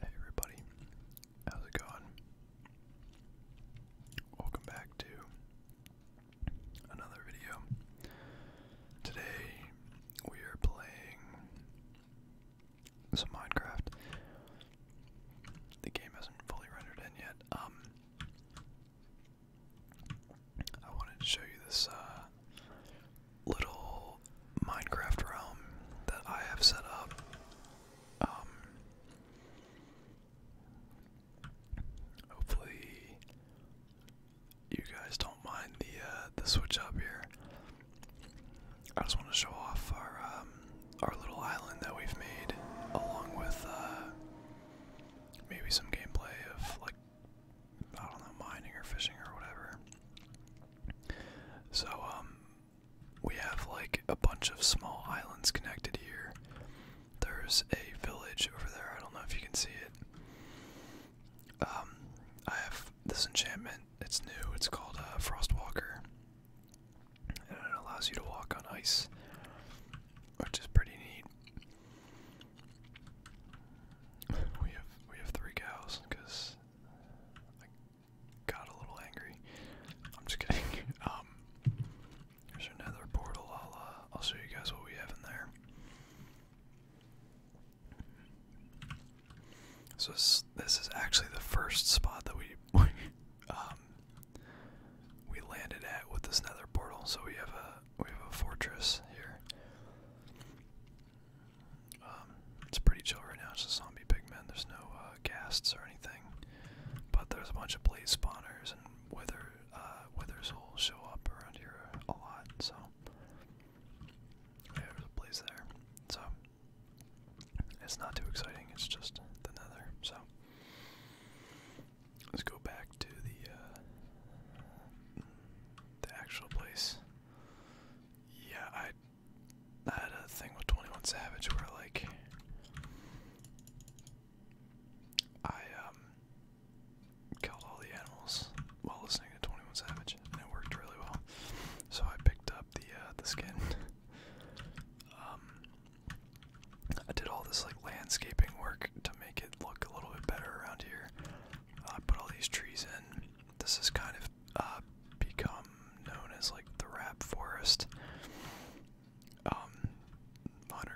Hey everybody, how's it going? Welcome back to another video. Today we are playing some Minecraft. The game hasn't fully rendered in yet. Um, I wanted to show you this uh, little Minecraft realm that I have set up. Um, hopefully, you guys don't mind the uh, the switch up here. I just want to show off our um, our little island that we've made, along with uh, maybe some gameplay of like I don't know mining or fishing or whatever. So, um, we have like a bunch of small islands connected here. There's a village over there. I don't know if you can see it. Um, I have this enchantment. It's new. It's called uh, Frostwalker, and it allows you to walk on ice, which is pretty neat. We have we have three cows because I got a little angry. I'm just kidding. Um, there's another portal. I'll, uh, I'll show you guys what we have in there. So this, this is actually the first spot that we um, we landed at with this nether portal. So we have a we have a fortress here. Um, it's pretty chill right now. It's just zombie pigmen. There's no uh, ghasts or anything, but there's a bunch of blaze spawners and wither uh, withers will show up around here a lot. So there's a blaze there. So it's not too exciting. It's just the nether. So let's go back to the uh, the actual place. Yeah, I I had a thing with 21 Savage where, like, I um, killed all the animals while listening to 21 Savage, and it worked really well. So I picked up the uh, the skin. Um, I did all this like landscaping work to make it look a little bit better around here. Uh, I put all these trees in this has kind of uh, become known as like the rap forest. Um,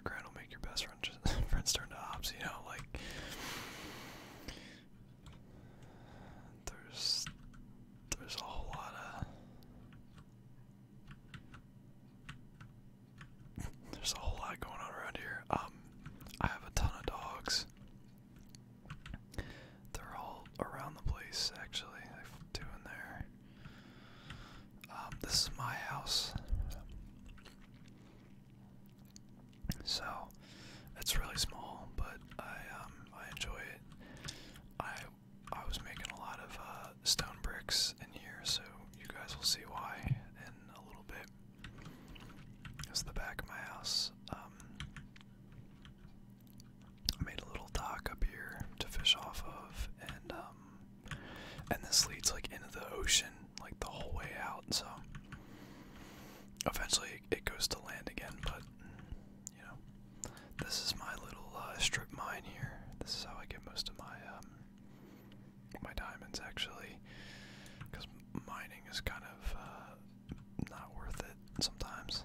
grand will make your best friend friends turn to ops. You know, like there's there's a whole lot of. There's a whole lot going on around here. Um, I have a ton of dogs. They're all around the place, actually. I have two there. Um, this is my house. So, it's really small, but I um, I enjoy it. I I was making a lot of uh, stone bricks in here, so you guys will see why in a little bit. It's the back of my house. Um, I made a little dock up here to fish off of, and um, and this leads like into the ocean, like the whole way out. So eventually it goes to land again, but you know, this is my little uh, strip mine here. This is how I get most of my um, my diamonds actually, because mining is kind of uh, not worth it sometimes.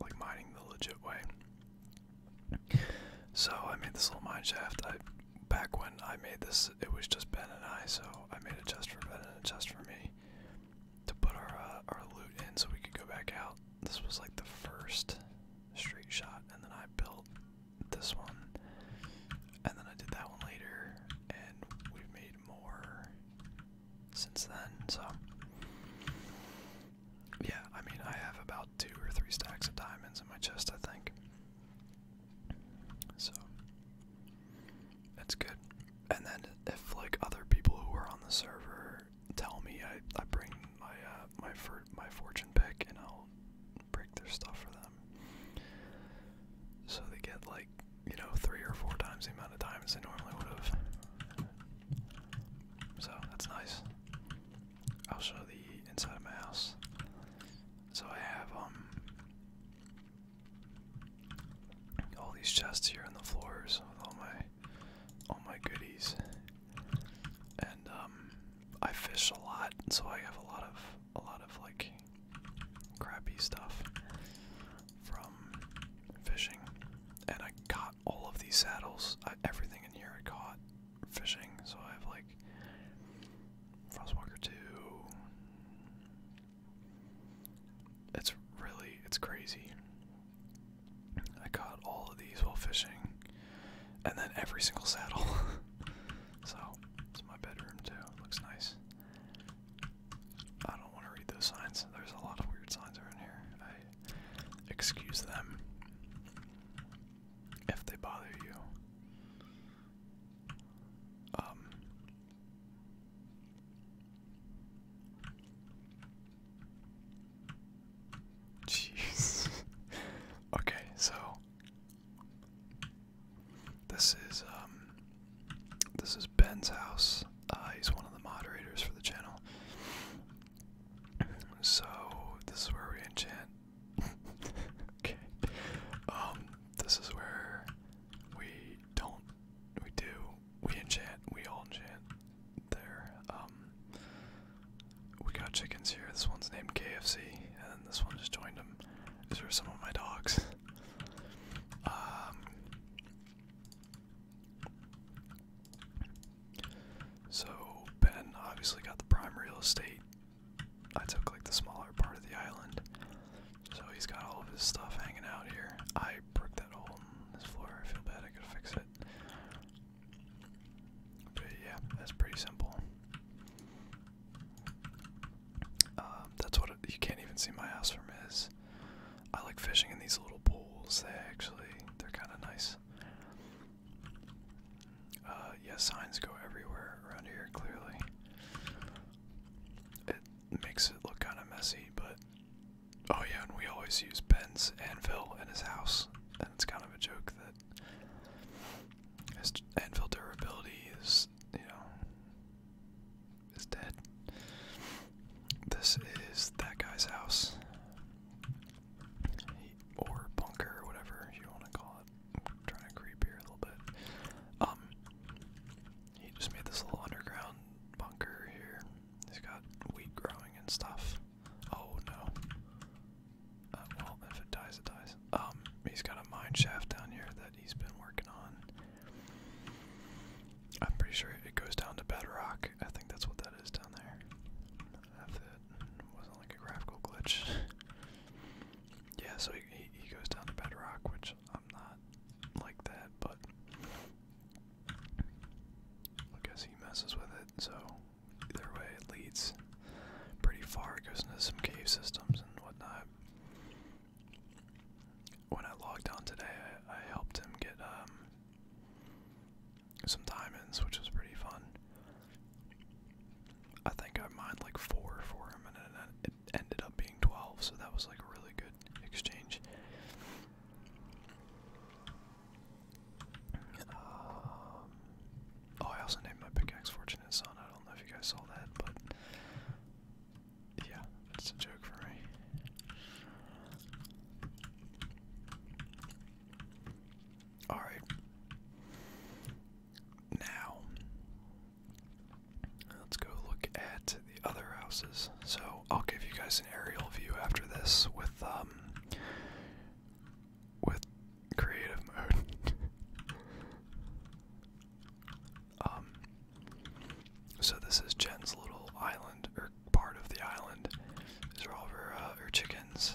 Like mining the legit way. So I made this little mine shaft. back when I made this, it was just Ben and I. So I made a chest for Ben and a chest for me to put our uh, our loot in, so we could go back out. This was like the first straight shot, and then I built this one, and then I did that one later, and we've made more since then, so yeah, I mean, I have about two or three stacks of diamonds in my chest, I think. So that's good. And then if like other people who are on the server tell me, I I bring my uh, my my fortune pick, and I'll break their stuff for them, so they get like you know, three or four times the amount of time as they normally would have. So that's nice. I'll show the inside of my house. So I have um all these chests here on the floors with all my all my goodies. And um I fish a lot, so I have a lot of a lot of like crappy stuff from fishing. And I got all of these saddles. everything in here I caught fishing. So I have like Frostwalker 2. It's really, it's crazy. I caught all of these while fishing. And then every single saddle. so, it's my bedroom too. Looks nice. I don't want to read those signs. There's a lot of weird signs around here. I excuse them if they bother you. Um. Jeez. okay, so this is um this is Ben's house. Uh, he's one of the moderators for the channel. So this is where we enchant. okay. Um, this is where we don't. We do. We enchant. We all enchant. There. Um, we got chickens here. This one's named KFC, and this one just joined them. These are some of my dogs. Um, so Ben obviously got the prime real estate. I took like the smaller part of the island. So he's got all of his stuff hanging out here. I broke that hole in this floor. I feel bad I could fix it. But yeah, that's pretty simple. Um, that's what you can't even see my house from is. I like fishing in these little pools. They actually they're kind of nice. Uh, yeah, signs go everywhere around here. Clearly, it makes it look kind of messy, but oh yeah, and we always use Ben's anvil in his house, and it's kind of a joke that his anvil durability is, you know, is dead. This is that guy's house. He, or bunker, or whatever you want to call it. trying to creep a little bit. Um, he just made this little underground bunker here. He's got wheat growing and stuff. Oh no. Uh, well, if it dies, it dies. Um, he's got a mine shaft down here that he's been working on. I'm pretty sure it goes down to bedrock. I think that's what that is down there. If it wasn't like a graphical glitch. yeah, so he, goes down to bedrock, which I'm not like that, but I guess he messes with it, so either way, it leads pretty far. goes into some cave systems and whatnot when I logged on today, I, helped him get um, some diamonds, which was pretty fun. I think I mined like four for him, and it, ended up being 12, so that was like a really good exchange. Um, oh, I also named my pickaxe Fortunate Son. I don't know if you guys saw that, but yeah, that's a joke for me. Alright. Now, let's go look at the other houses. So, I'll give you guys an aerial view after this with, um, with creative mode. Um, so this is Jen's little island, or part of the island. These are all her, uh, her chickens.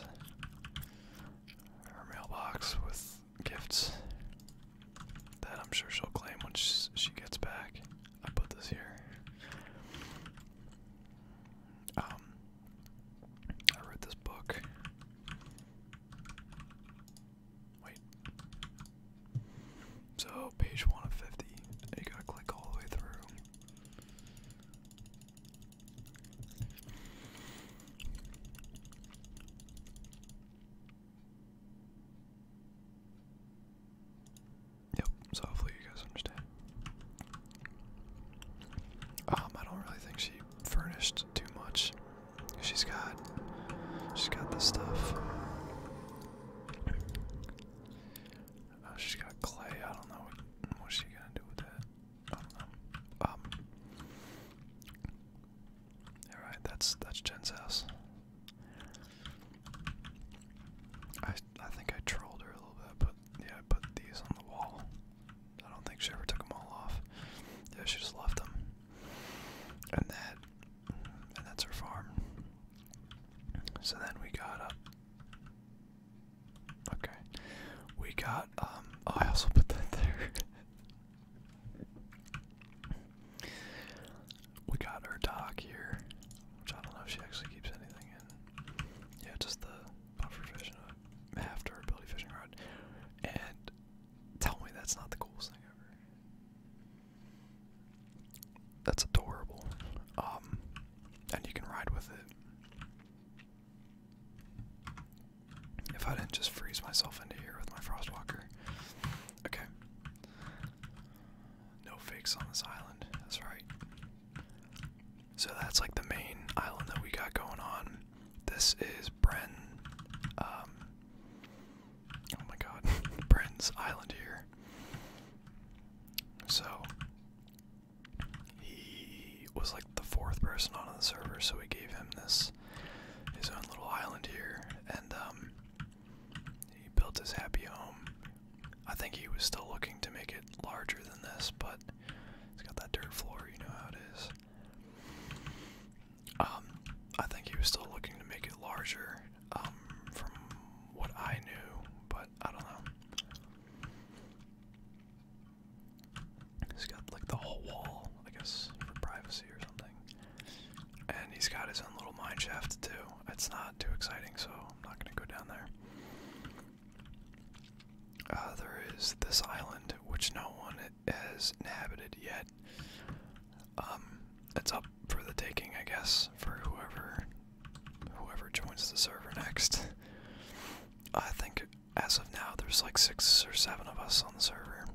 Her mailbox with gifts that I'm sure she'll claim once she gets back. I put this here. Um, I read this book. Wait. So page one of fifty. You gotta click all the way through. Yep, so hopefully you guys understand. Um, I don't really think she furnished too much. She's got she's got this stuff. Oh, she's got clay. I don't know what, she's gonna do with that. I don't know. All right, that's that's Jen's house. I I think I trolled her a little bit, but yeah, I put these on the wall. I don't think she ever took them all off. Yeah, she just left them. And that, and that's her farm. So then we got up. Uh, okay. We got, um, oh, I also put that there. we got our dock here, which I don't know if she actually keeps anything in. Yeah, just the half uh, durability fishing rod. And tell me that's not the coolest thing ever. That's adorable. Um, and you can ride with it. If I didn't just freeze myself into here with my frostwalker. Okay. No fakes on this island. That's right. So that's like the main island that we got going on. This is Bren. Um, oh my god. Bren's island here. So he was like the fourth person on the server, so we gave him this his own little island here, and um, he built his happy home. I think he was still looking to make it larger than this, but it's got that dirt floor, you know how it is. Um, I think he was still looking to make it larger, um, from what I knew, but I don't know. He's got like the whole wall, I guess, for privacy or something. And he's got his own little mine shaft too. It's not too exciting, so I'm not gonna go down there. Uh, there is this island, which no one has inhabited yet. Um, it's up for the taking, I guess, for whoever whoever joins the server next. I think as of now, there's like six or seven of us on the server.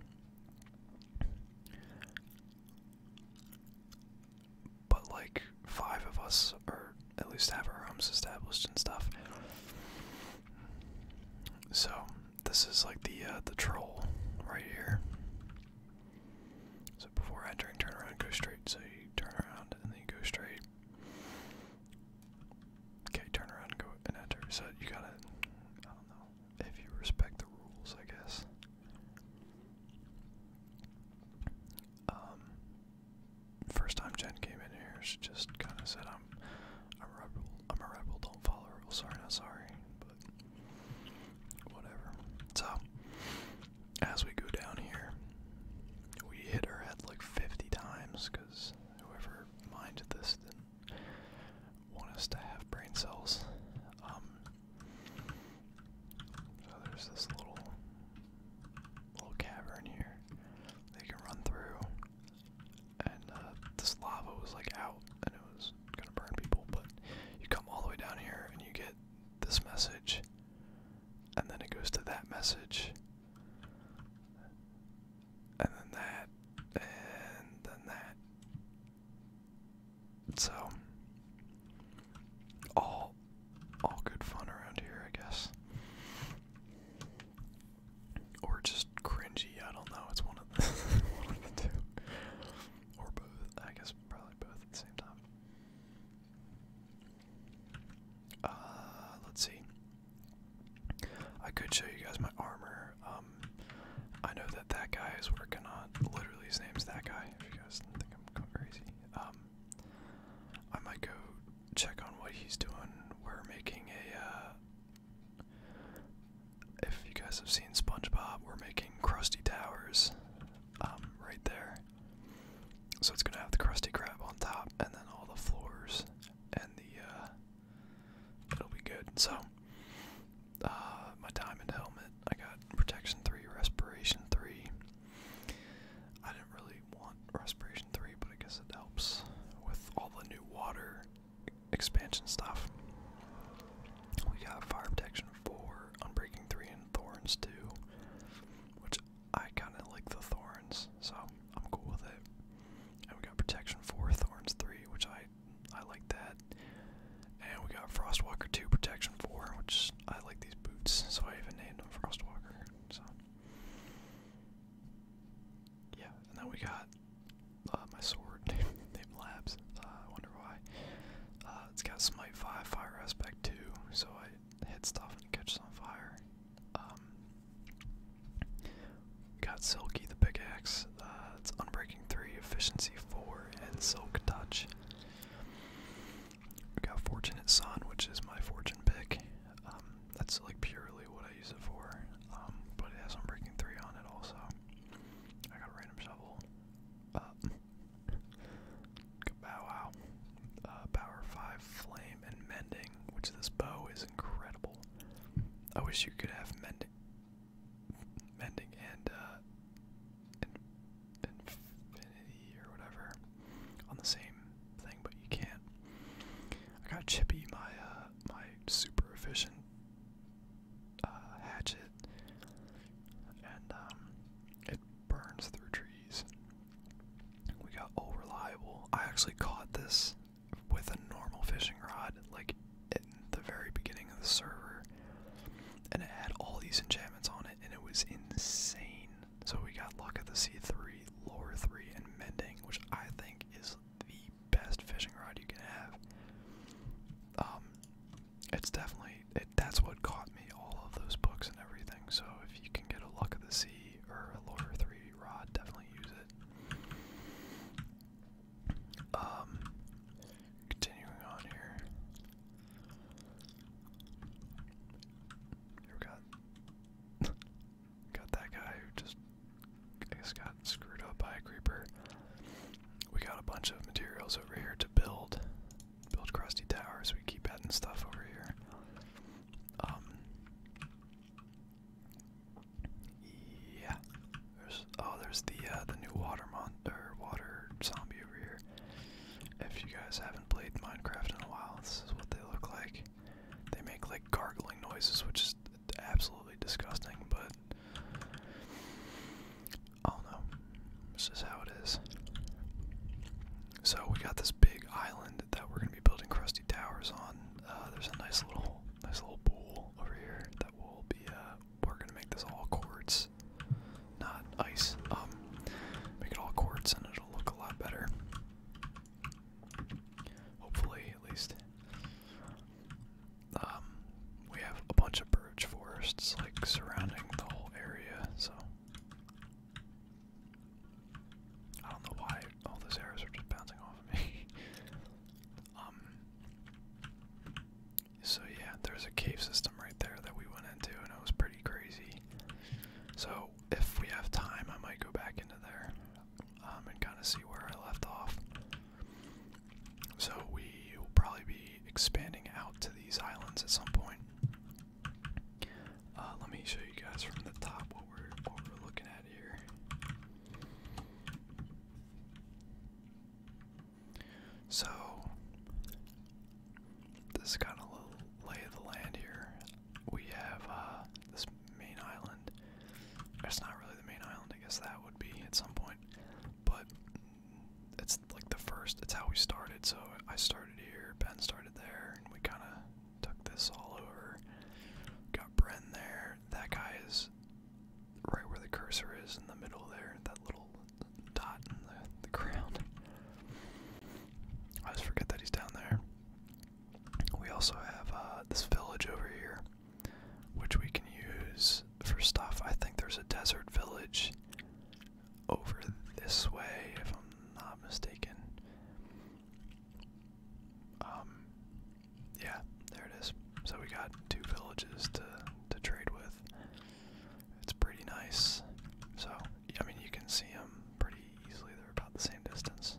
But like five of us, or at least have our homes established and stuff. So this is like the uh, the troll right here. So before entering, turn around, go straight. So you turn around and then you go straight. Okay, turn around and go and enter. So you gotta, I don't know, if you respect the rules, I guess. Um, first time Jen came in here, she just kind of said, "I'm, I'm a rebel. I'm a rebel. Don't follow rules. Sorry, not sorry." whatever. So, as we go down here, we hit our head like 50 times because whoever minded this didn't want us to have brain cells. Um, so there's this little little cavern here they can run through, and uh, this lava was like out, and it was gonna burn people, but you come all the way down here and you get this message, and then it goes to that message, and then that, and then that. So, all, all good fun around here, I guess. Or just cringy, I don't know, it's one of the, two. Or both, I guess probably both same time. Uh, let's see. I could show you guys my armor. Um, I know that that guy is working on. Literally, his name's that guy. If you guys think I'm going crazy, um, I might go check on what he's doing. We're making a. Uh, if you guys have seen SpongeBob, we're making crusty towers um, right there. So it's gonna have the crusty crab on top, and then all the floors, and the uh, it'll be good. So uh, my diamond helmet, I got protection three, respiration three. I didn't really want respiration three, but I guess it helps with all the new water expansion stuff. We got Fire Protection 4, Unbreaking 3, and Thorns 2. Which I kind of like the Thorns, so I'm cool with it. And we got Protection 4, Thorns 3, which I I like that. And we got Frostwalker 2, Protection 4, which I like these boots, so I even named them Frostwalker. So. Yeah, and then we got uh, my sword named Labs. I wonder why. Uh, it's got smite five, fire aspect too, so I hit stuff and catch some fire. Um, got Silky the pickaxe. Uh, it's unbreaking three, efficiency four, and silk touch. got Fortunate Son, which is my fortune pick. Um, that's like purely what I use it for. Um, but it has Unbreaking 3 on it also. I got random shovel. Uh, Bow Wow. Uh, power 5 Flame and Mending, which this bow is incredible. I wish you could have Mending mending and, uh, Infinity or whatever on the same thing, but you can't. I got Chippy, my, uh, my super efficient uh, hatchet, and um, it burns through trees. We got old reliable. I actually caught this with a normal fishing rod, like in the very beginning of the server, and it had all these enchantments on it, and it was insane. So we got luck at the sea three, lore three, and mending, which I think is the best fishing rod you can have. Um, it's definitely it, that's what caught me all of those books and everything. So if you can get a Luck of the Sea or a Lord of Three Rod, definitely use it. Um, continuing on here. we got got that guy who just I got screwed up by a creeper. We got a bunch of materials over here to build. Build crusty towers. We keep adding stuff over here. Um, yeah. There's oh, there's the uh, the new water monster, water zombie over here. If you guys haven't played Minecraft in a while, this is what they look like. They make like gargling noises, which is absolutely disgusting, but Oh no, this is how it is. So we got this big island that we're gonna be building crusty towers on. Uh, there's a nice little, nice little pool over here that will be. Uh, we're gonna make this all quartz, not ice. Um, make it all quartz and it'll look a lot better. Hopefully, at least. Um, we have a bunch of large forests like surrounding the whole area, so I don't know why all those arrows are just bouncing off me. um so yeah, there's a cave system right there that we went into and it was pretty crazy. So if we have time I might go back into there um and kind of see where I left off. So we will probably be expanding out to these islands at some point. Uh, let me show you guys from the top what we're looking at here. So this kind of a lay of the land here. We have uh, this main island. It's not really the main island. I guess that would be at some point, but it's like the first, it's how we started. So I started here, Ben started there, and we kind of took this all over. Got Bren there. That guy is right where the cursor is in the middle there, that little dot in the, ground. I just forget that he's down there. We also have uh, this village over here, which we can use for stuff. I think there's a desert village over this way, if I'm not mistaken. Um, yeah, there it is. So we got two villages to to trade with. It's pretty nice. So I mean, you can see them pretty easily. They're about the same distance,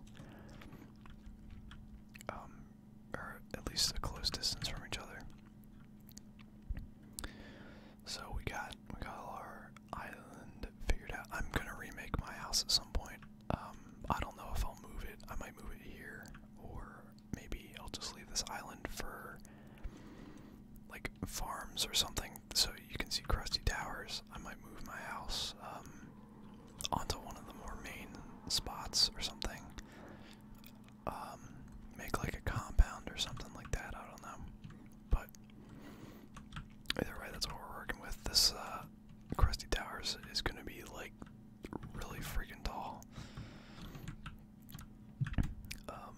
um, or at least a close distance from each other. So we got we got all our island figured out. I'm gonna remake my house at some point. Um, I don't know if I'll move it. I might move it here, or maybe I'll just leave this island for like farms or something. So you can see Krusty Towers. I might move my house um, onto one of the more main spots or something um, make like a compound or something like that. I don't know, but either way, that's what we're working with. This crusty uh, towers is gonna be like really freaking tall. Um,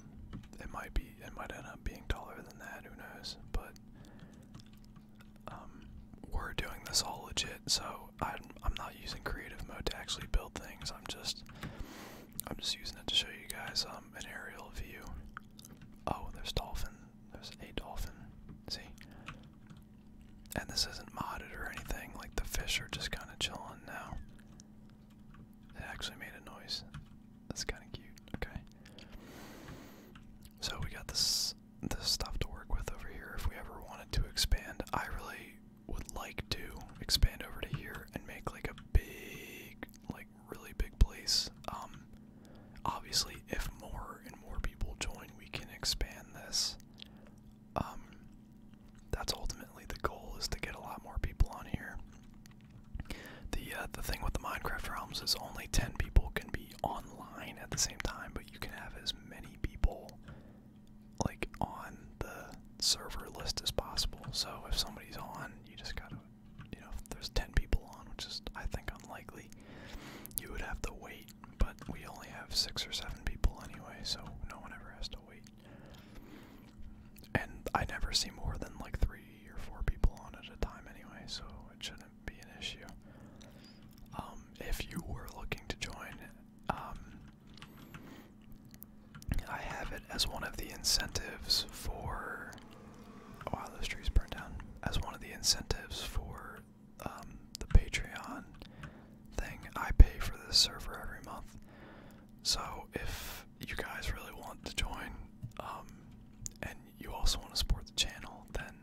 it might be, it might end up being taller than that. Who knows? But um, we're doing this all legit, so I'm, I'm not using creative mode to actually build things. I'm just I'm just using it to show you guys um, an aerial view. Oh, there's dolphin. There's a dolphin. See? And this isn't modded or anything. Like the fish are just kind of chilling now. It actually made a noise. That's kind of cute. Okay. So we got this this stuff to work with over here if we ever wanted to expand. I really would like to expand over to here and make like a big, like really big place. Um, obviously, if more and more people join, we can expand this. Um, that's ultimately the goal is to get a lot more people on here. The uh, the thing with the Minecraft realms is only ten people can be online at the same time, but you can have as many people like on the server list as possible. So if somebody's on, you just gotta, you know, if there's 10 people on, which is, I think, unlikely, you would have to wait. But we only have six or seven people anyway, so no one ever has to wait. And I never see more than like three or four people on at a time anyway, so it shouldn't be an issue. Um, if you were looking to join, um, I have it as one of the incentives for. Oh, those trees burned down. As one of the incentives for um, the Patreon thing, I pay for this server every month. So if you guys really want to join, um, and you also want to support the channel, then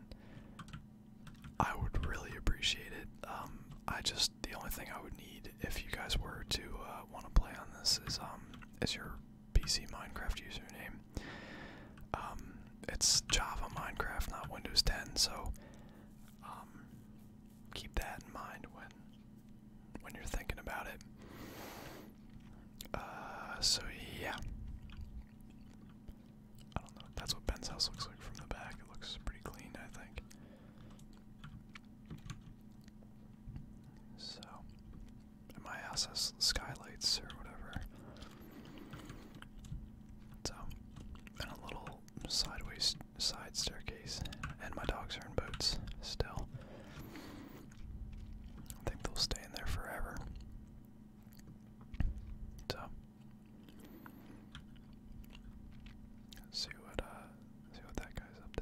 I would really appreciate it. Um, I just the only thing I would need if you guys were to uh, want to play on this is um is your PC Minecraft username. Um, it's Java Minecraft, not Windows 10, so um, keep that in mind when when you're thinking about it. Uh, so yeah, I don't know. That's what Ben's house looks like from the back. It looks pretty clean, I think. So, my house has skylights or whatever. So, and a little sideways side staircase, and my dogs are in boats still. I think they'll stay in there forever. So, see what uh, see what that guy's up to.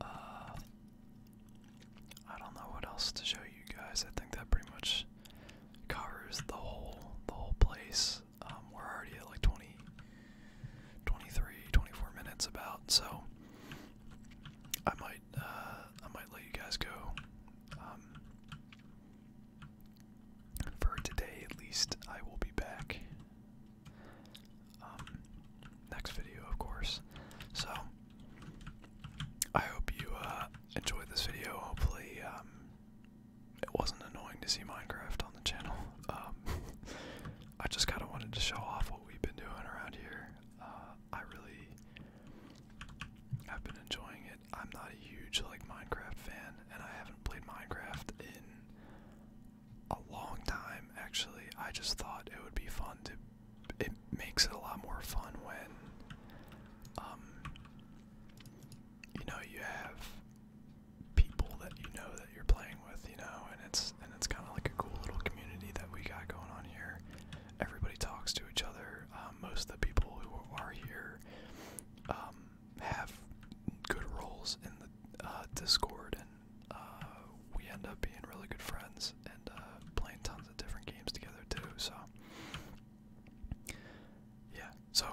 Uh, I don't know what else to show you guys. I think that pretty much covers the whole the whole place. Um, we're already at like 20, 23, 24 minutes about. So I might uh, I might let you guys go. Um, for today, at least, I will be back um, next video, of course. So, I hope you uh, enjoyed this video. Hopefully, um, it wasn't annoying to see Minecraft on the channel. Um, I just kind of wanted to show off what we've been doing around here. Uh, I really have been enjoying it. I'm not a huge like Minecraft fan, and I haven't played Minecraft in a long time, actually. I just thought it would be fun to. It makes it a lot more fun when, um, you know, you have people that you know that you're playing with, you know, and it's and it's kind of like a cool little community that we got going on here. Everybody talks to each other. Um, most of the people who are here um, have good roles in the uh, Discord and uh, we end up being really good friends and uh, playing tons of different games together too. So yeah, so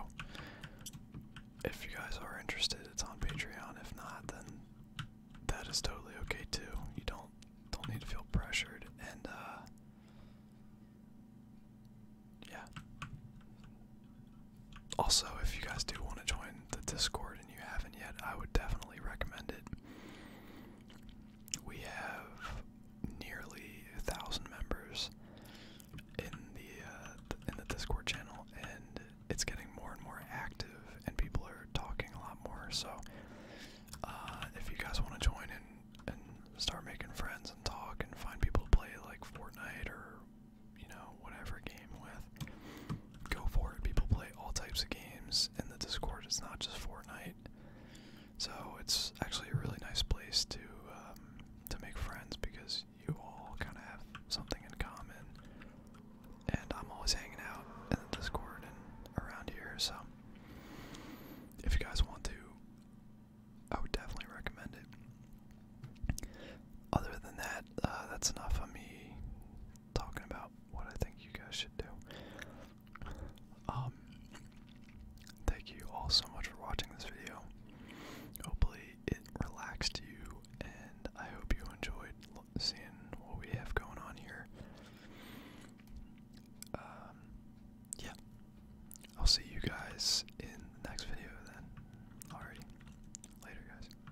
if you guys are interested, it's on Patreon. If not, then that is totally okay too. You don't don't need to feel pressured and. Uh, yeah. Also, if you guys do want to join the Discord and you haven't yet, I would definitely recommend it. We have nearly a thousand members in the uh, in the Discord channel, and it's getting more and more active, and people are talking a lot more. So, uh, if you guys want to join and and start making friends and talk and find people to play like Fortnite or you know, whatever game with. Go for it. People play all types of games in the Discord. It's not just Fortnite. So it's actually a really nice place to um, to make friends because you all kind of have something in common. And I'm always hanging out in the Discord and around here. So if you guys want to, I would definitely recommend it. Other than that, uh, that's enough of me talking about what I think you guys should do. Um, thank you all so much for watching this video. Hopefully, it relaxed you, and I hope you enjoyed seeing what we have going on here. Um, yeah, I'll see you guys in the next video then. Alrighty, later, guys.